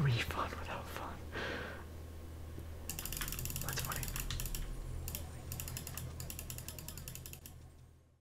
really fun without fun. That's funny.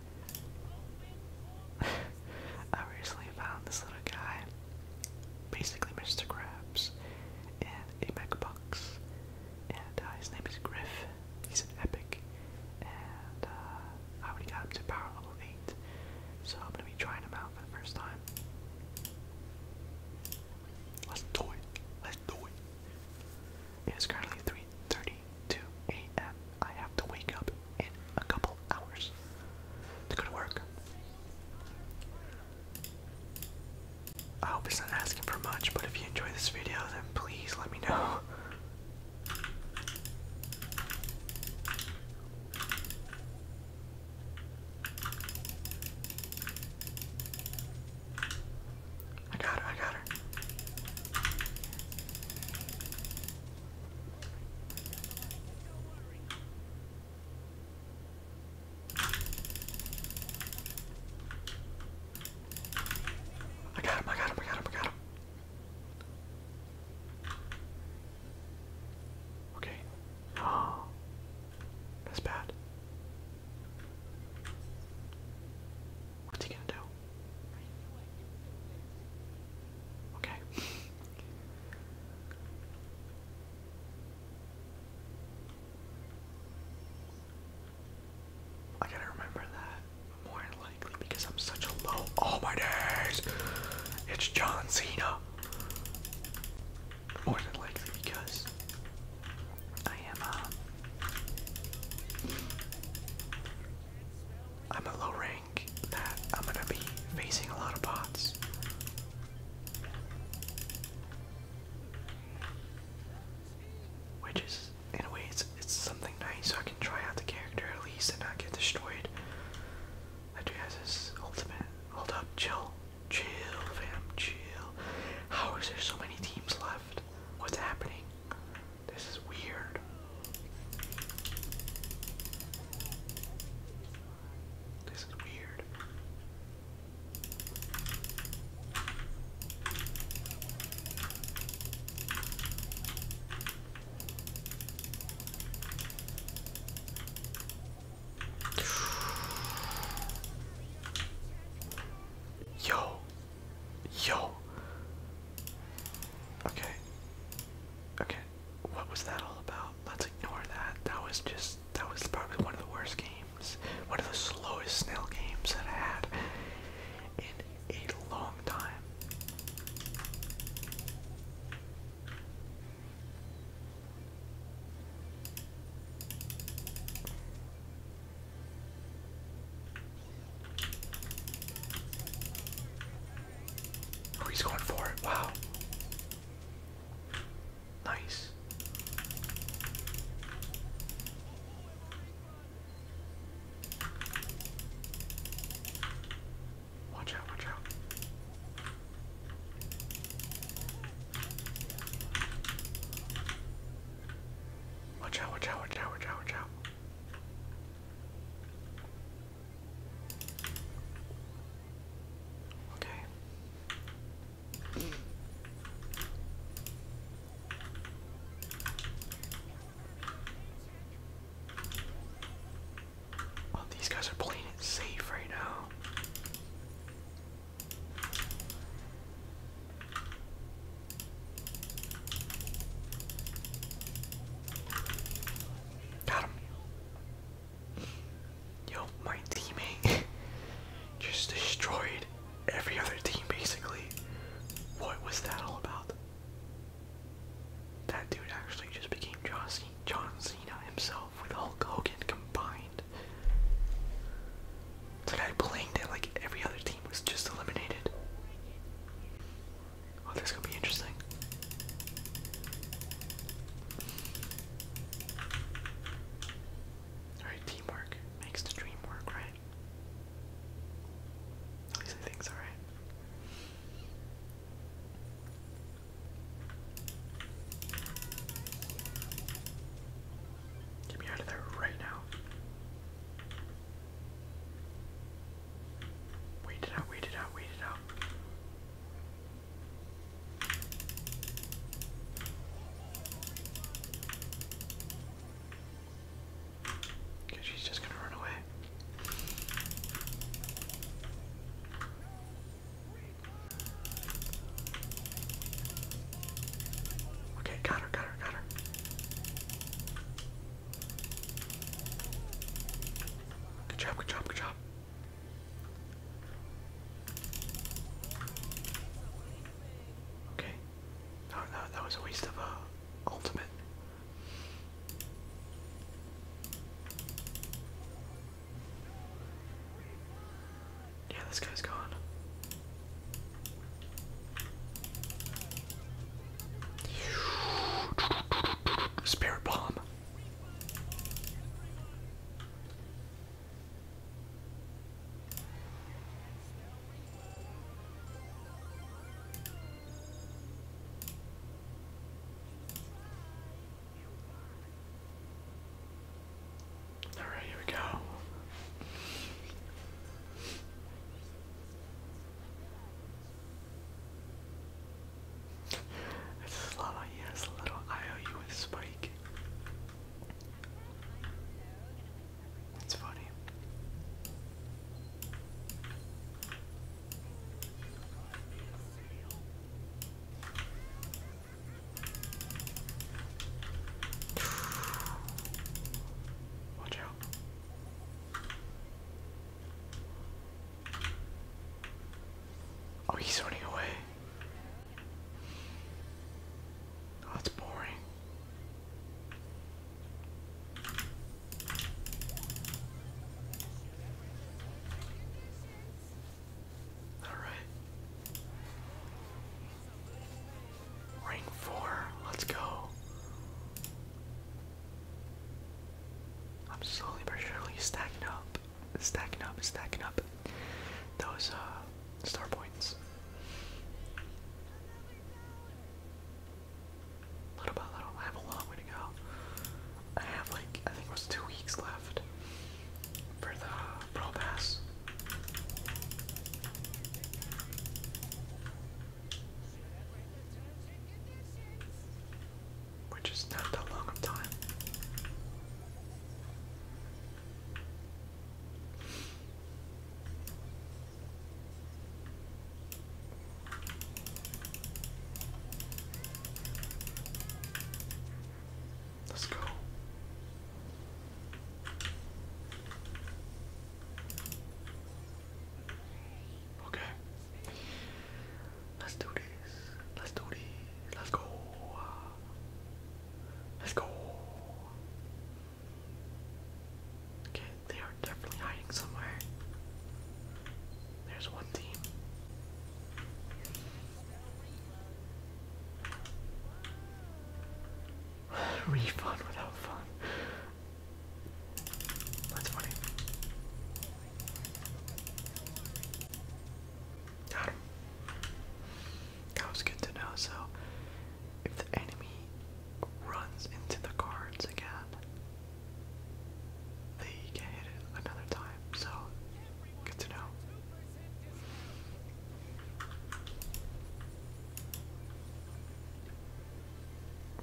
I recently found this little guy, basically Mr. Krabs, and a Box, and uh, his name is Griff. He's an epic, and uh, I already got him to power level eight, so I'm gonna be trying him out for the first time. Let's do it. Let's do it. It is currently 3:32 a.m. I have to wake up in a couple hours to go to work. I hope it's not asking for much, but if you enjoy this video, then please let me know. I got her, I got her. I got him, I got him, I got him, I got him. Okay. Oh. That's bad. What's he gonna do? Okay. I gotta remember that more likely because I'm such a low. Oh my days! It's John Cena! More than likely because I am a. Um, I'm a low rank that I'm gonna be facing a lot of bots. Which is, in a way, it's, it's something nice so I can try out the character at least and not get destroyed. That dude has his ultimate. Hold up, chill. Chill, fam, chill. How is there so many teams left? What's happening? This is weird. This is weird. Yo, yo, Okay. Okay. What was that all about? Let's ignore that. That was just that was probably one of the worst games. One of the slowest snail games that I had in a long time. Oh, he's going for it. Wow. Nice. Watch out, watch out. Watch out, watch out, watch out, watch out, Okay. Oh, these guys are playing it safe right now. Got him. Yo, my teammate just destroyed every other team basically. What was that all about? That dude actually just became John, Cena himself with Hulk Hogan combined. It's I blamed it like every other team was just eliminated. Oh, this is gonna be interesting. Alright, teamwork makes the dream work, right? At least I think Get me out of there right now. Wait it out, wait it out, wait it out. Okay, she's just gonna run away. Okay, got her, got her, got her. Good job, good job, good job. Okay. No, no, that was a waste of a uh, ultimate. Yeah, this guy's gone. Spirit bomb. All right, here we go. It's Slava, yes, a little IOU with Spike. It's funny. Watch out. Oh, he's running away. Oh, that's boring. All right. Ring four. Let's go. I'm slowly but surely stacking up, stacking up, stacking up those uh, star points. Little by little, I have a long way to go. I have like, I think it was two weeks left for the Pro Pass. Which is not that long time. Let's go. Okay. Let's do this. Let's do this. Let's go. Let's go. Okay, they are definitely hiding somewhere. There's one team. Refund without fun. That's funny. Got him. That was good to know. So, if the enemy runs into the cards again, they get hit it another time. So, good to know.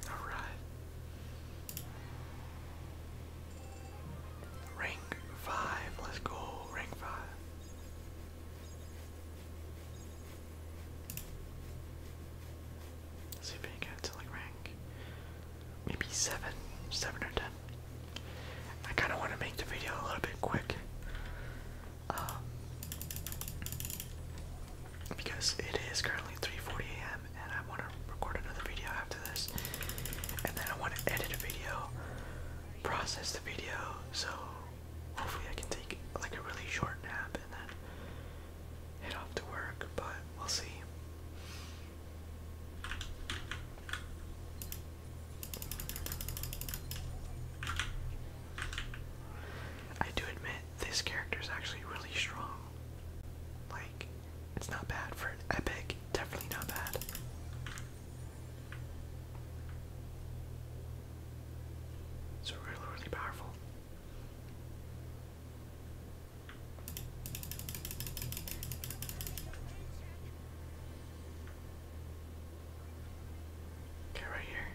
Alright. Rank 5. Let's go. Rank 5. see if we can get to like rank maybe 7, 7 or 10. I kind of want to make the video a little bit quick. Um, because it is currently 3:40 a.m. and I want to record another video after this, and then I want to edit a video, process the video, so hopefully I can take like a really short nap and then head off to work. But we'll see. I do admit this character is actually really strong. Like, it's not bad for an epic, definitely not bad. It's really, really powerful. Okay, right here.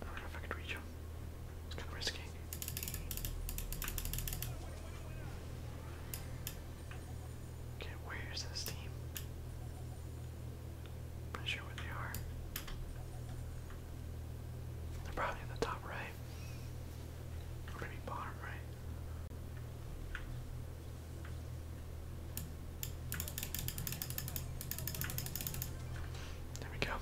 I don't know if I could reach him. It's kind of risky. Okay, where is this team? not sure where they are. They're probably in the top right. Or maybe bottom right. There we go.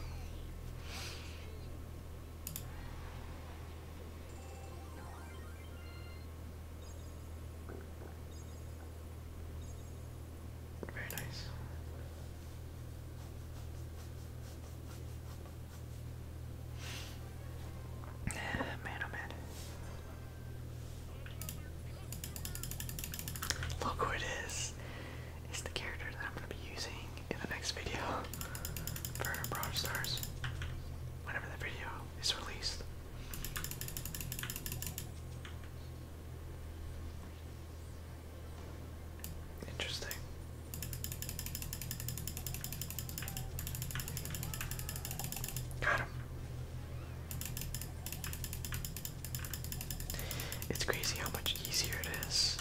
Very nice. man, oh man. Look who it is is the character that I'm going to be using in the next video for Brawl Stars whenever the video is released. Interesting. Got him. It's crazy how much easier it is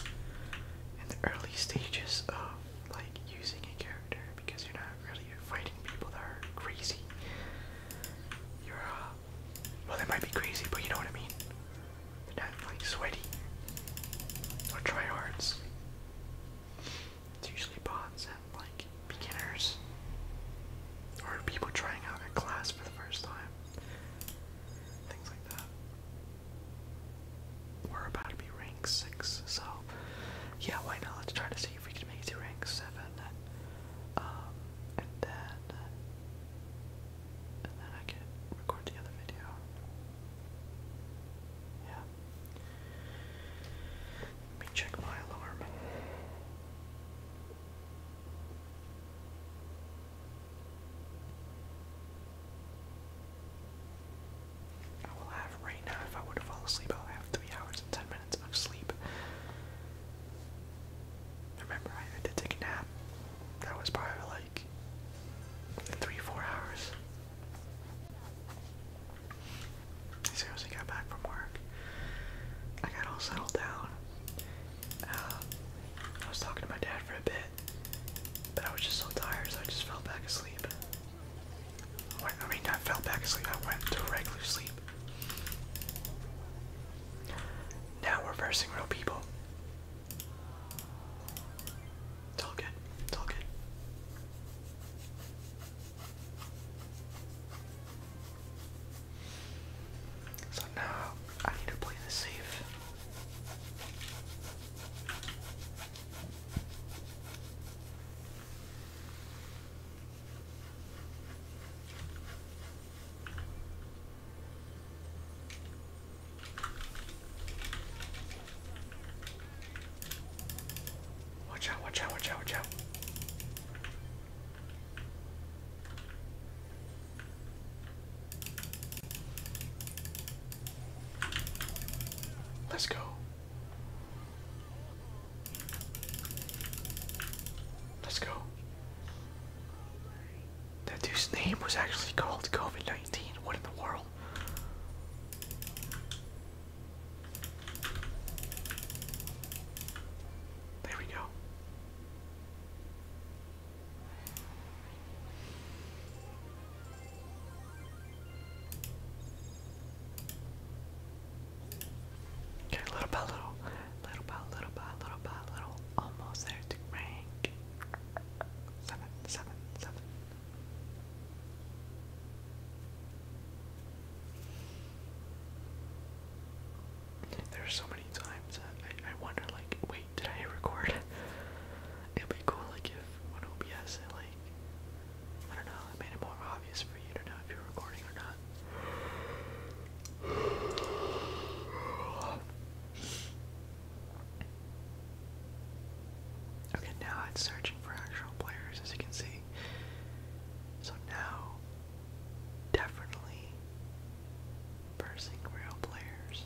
in the early stages of like using a character because you're not really fighting people that are crazy. You're uh, well, they might be crazy, but you know what I mean. They're not like sweaty or tryhards. It's usually bots and like beginners or people trying out a class for the first time things like that. We're about to be rank six, so yeah, why not? Let's try to see if we can make it to rank seven. Um, and then, and then I can record the other video. Yeah. Let me check my alarm. I will have right now, if I were to fall asleep, I'll have 3 hours and 10 minutes of sleep. Remember, I had to take a nap. That was probably like 3 4 hours. I got back from work. I got all settled down. Uh, I was talking to my dad for a bit, but I was just so tired, so I just fell back asleep. I mean, I fell back asleep. I went to regular sleep. Now we're versing real people. It's all good. It's all good. So now I need to play this safe. Watch out, watch out, watch out, watch out. Let's go. Let's go. That dude's name was actually called COVID 19. What in the world? There we go. Okay, little by little, little by little by little by little, almost there to rank seven, seven, seven. There's so many times that I, wonder, like, wait, did I record? It'd be cool, like, if when OBS, it, like, I don't know, it made it more obvious for you to know if you're recording or not. Okay, now it's searching for actual players, as you can see. So now, definitely Pressing real players.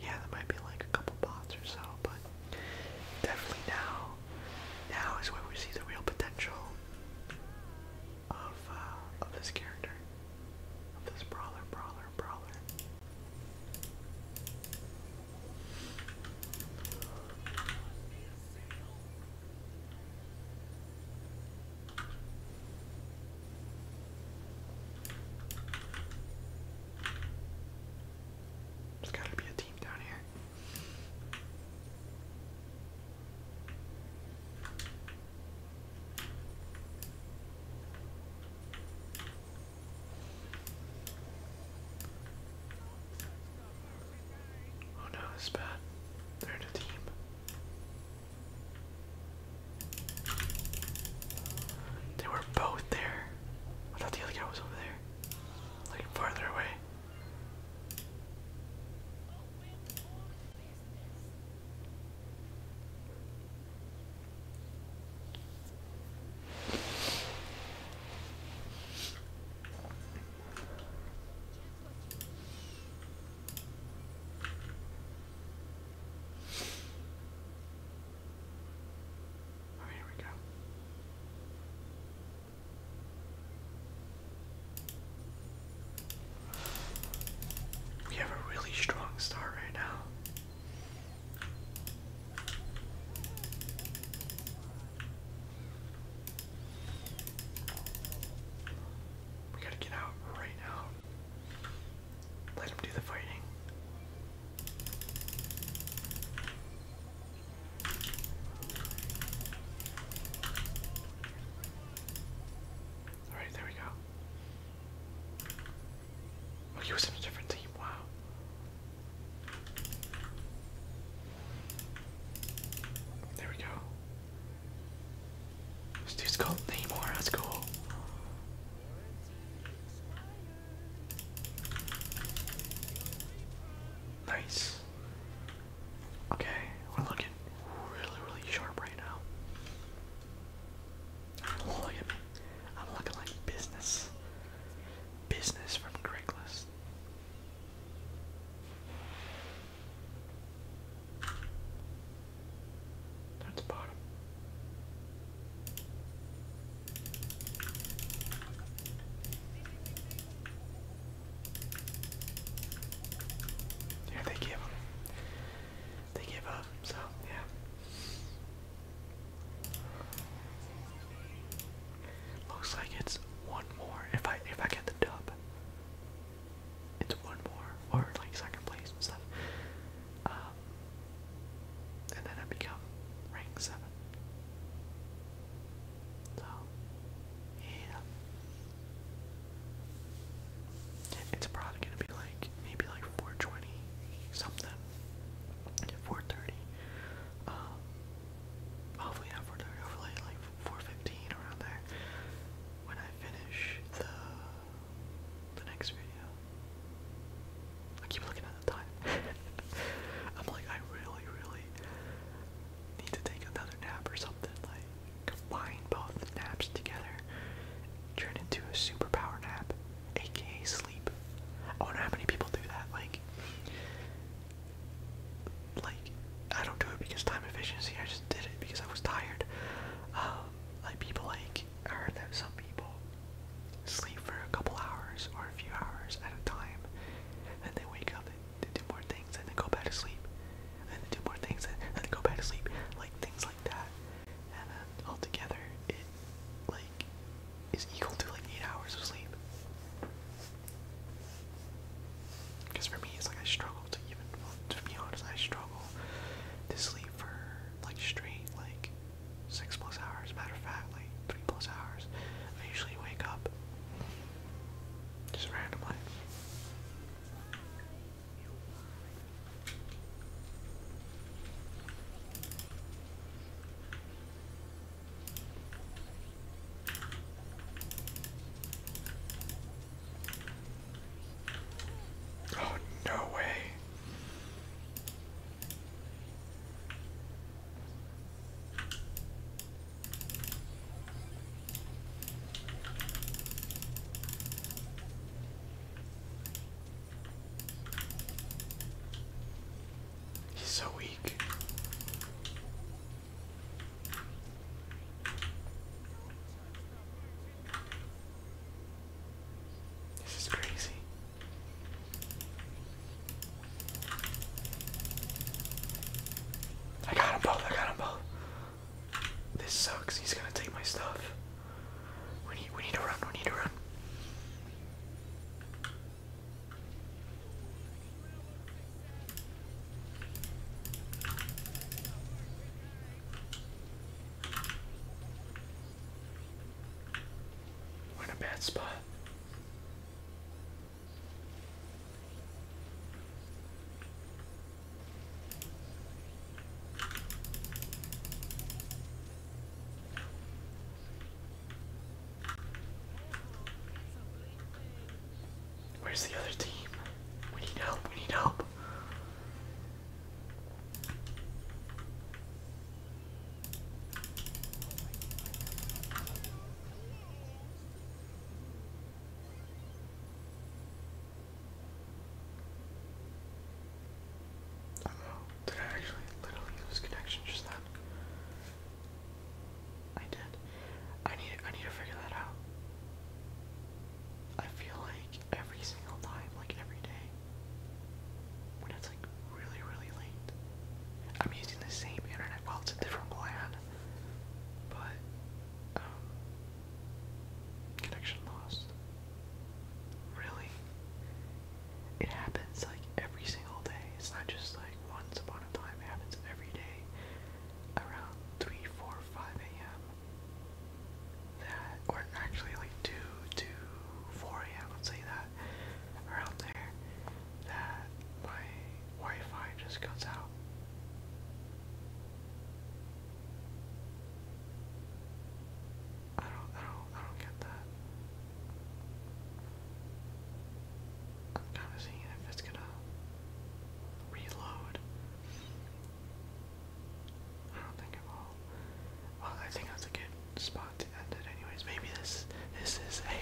Yeah, there might be like a couple bots or so, but definitely now, now is where we see the real potential of uh, of this character, of this brawler, brawler, brawler. There's gotta be a team down here. Oh no, this bad. they a team. They were both there. I thought the other guy was over there. Like farther away here we go. We have a really strong start right now. We gotta get out right now. Let him do the fighting. Alright, there we go. Oh, he was in a different team, wow. There we go. This dude's called Namor, that's cool. Nice. Okay, we're looking really, really sharp right now. Look at me. I'm looking like business. Business from Craigslist. That's bottom. Yeah, they give them. They give up, so yeah. Looks like it's one more if I if I get the dub. It's one more or like second place and stuff. Um, then I become rank seven. So yeah. It's probably gonna be like maybe like 420 something, 430. Um, hopefully not 430, hopefully like 415 around there. When I I finish the the next video. I keep looking at the time. I'm like, I really, really need to take another nap or something. Like, combine both naps together, turn into a superpower nap, aka sleep. I wonder how many people do that. Like, like I don't do it because time efficiency. I just did it because I was tired. Um, like people like I heard that some people sleep for a couple hours or a few hours at a time, and they wake up and they do more things and then go back to sleep, and they do more things and then they go back to sleep, like things like that. And then altogether, it like is equal to like eight hours of sleep. Because for me, it's like I struggle to even, well, to be honest, I struggle to sleep for like straight like six plus hours. Matter of fact, like three plus hours. I usually wake up just randomly. Oh, no way. He's so weak. This is crazy. I got him both, I got him both. This sucks, he's gonna take my stuff. We need we need to run, we need to run in a bad spot. Where's the other team? We need help, we need help did I actually literally lose connection just then? I did. I need I need to figure that out. I feel like every single time, like every day, when it's like really, really late, I'm using the same internet. Well, it's a different plan, but um, connection lost. Really, it happens like every single day. It's not just like once upon a time. It happens every day around three, four, five a.m that, or actually like 2 a.m., let's say that, around there, that my Wi-Fi just goes out. I don't, I don't, I don't get that. kind of seeing if it's gonna reload. I don't think I've Well, I think that's a good spot to end it, anyways. Maybe this this is a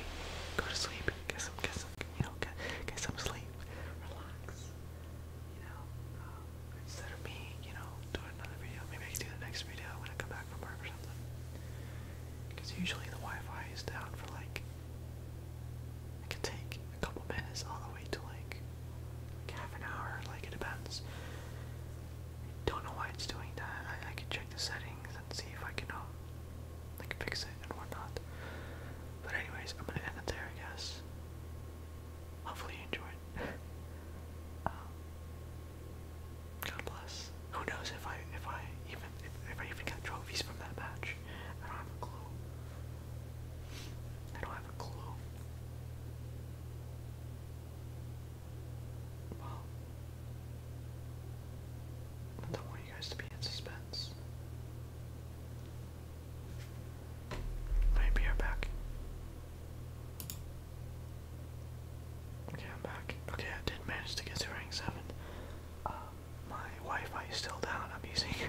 go to sleep, get some get some you know get get some sleep, relax. You know, um, instead of me, you know, doing another video, maybe I can do the next video when I come back from work or something. Because usually the Wi-Fi is down for like it can take a couple minutes all the way to like, half an hour, like it depends. I don't know why it's doing that. I, can check the settings and see if I can um, like fix it and whatnot. But anyways, I'm gonna end it there, I guess. Hopefully you enjoyed. Um, God bless. Who knows if I if I even if, I even got trophies from that match? I don't have a clue. I don't I don't want you guys to be in suspense. Maybe I'm back. Okay, I'm back. Okay, I did manage to get to rank 7. Uh, my Wi-Fi is still down. I'm using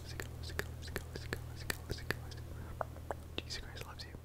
loves you, God loves you, God loves you, God loves you, God loves you, God loves you, God loves you. Jesus Christ loves you.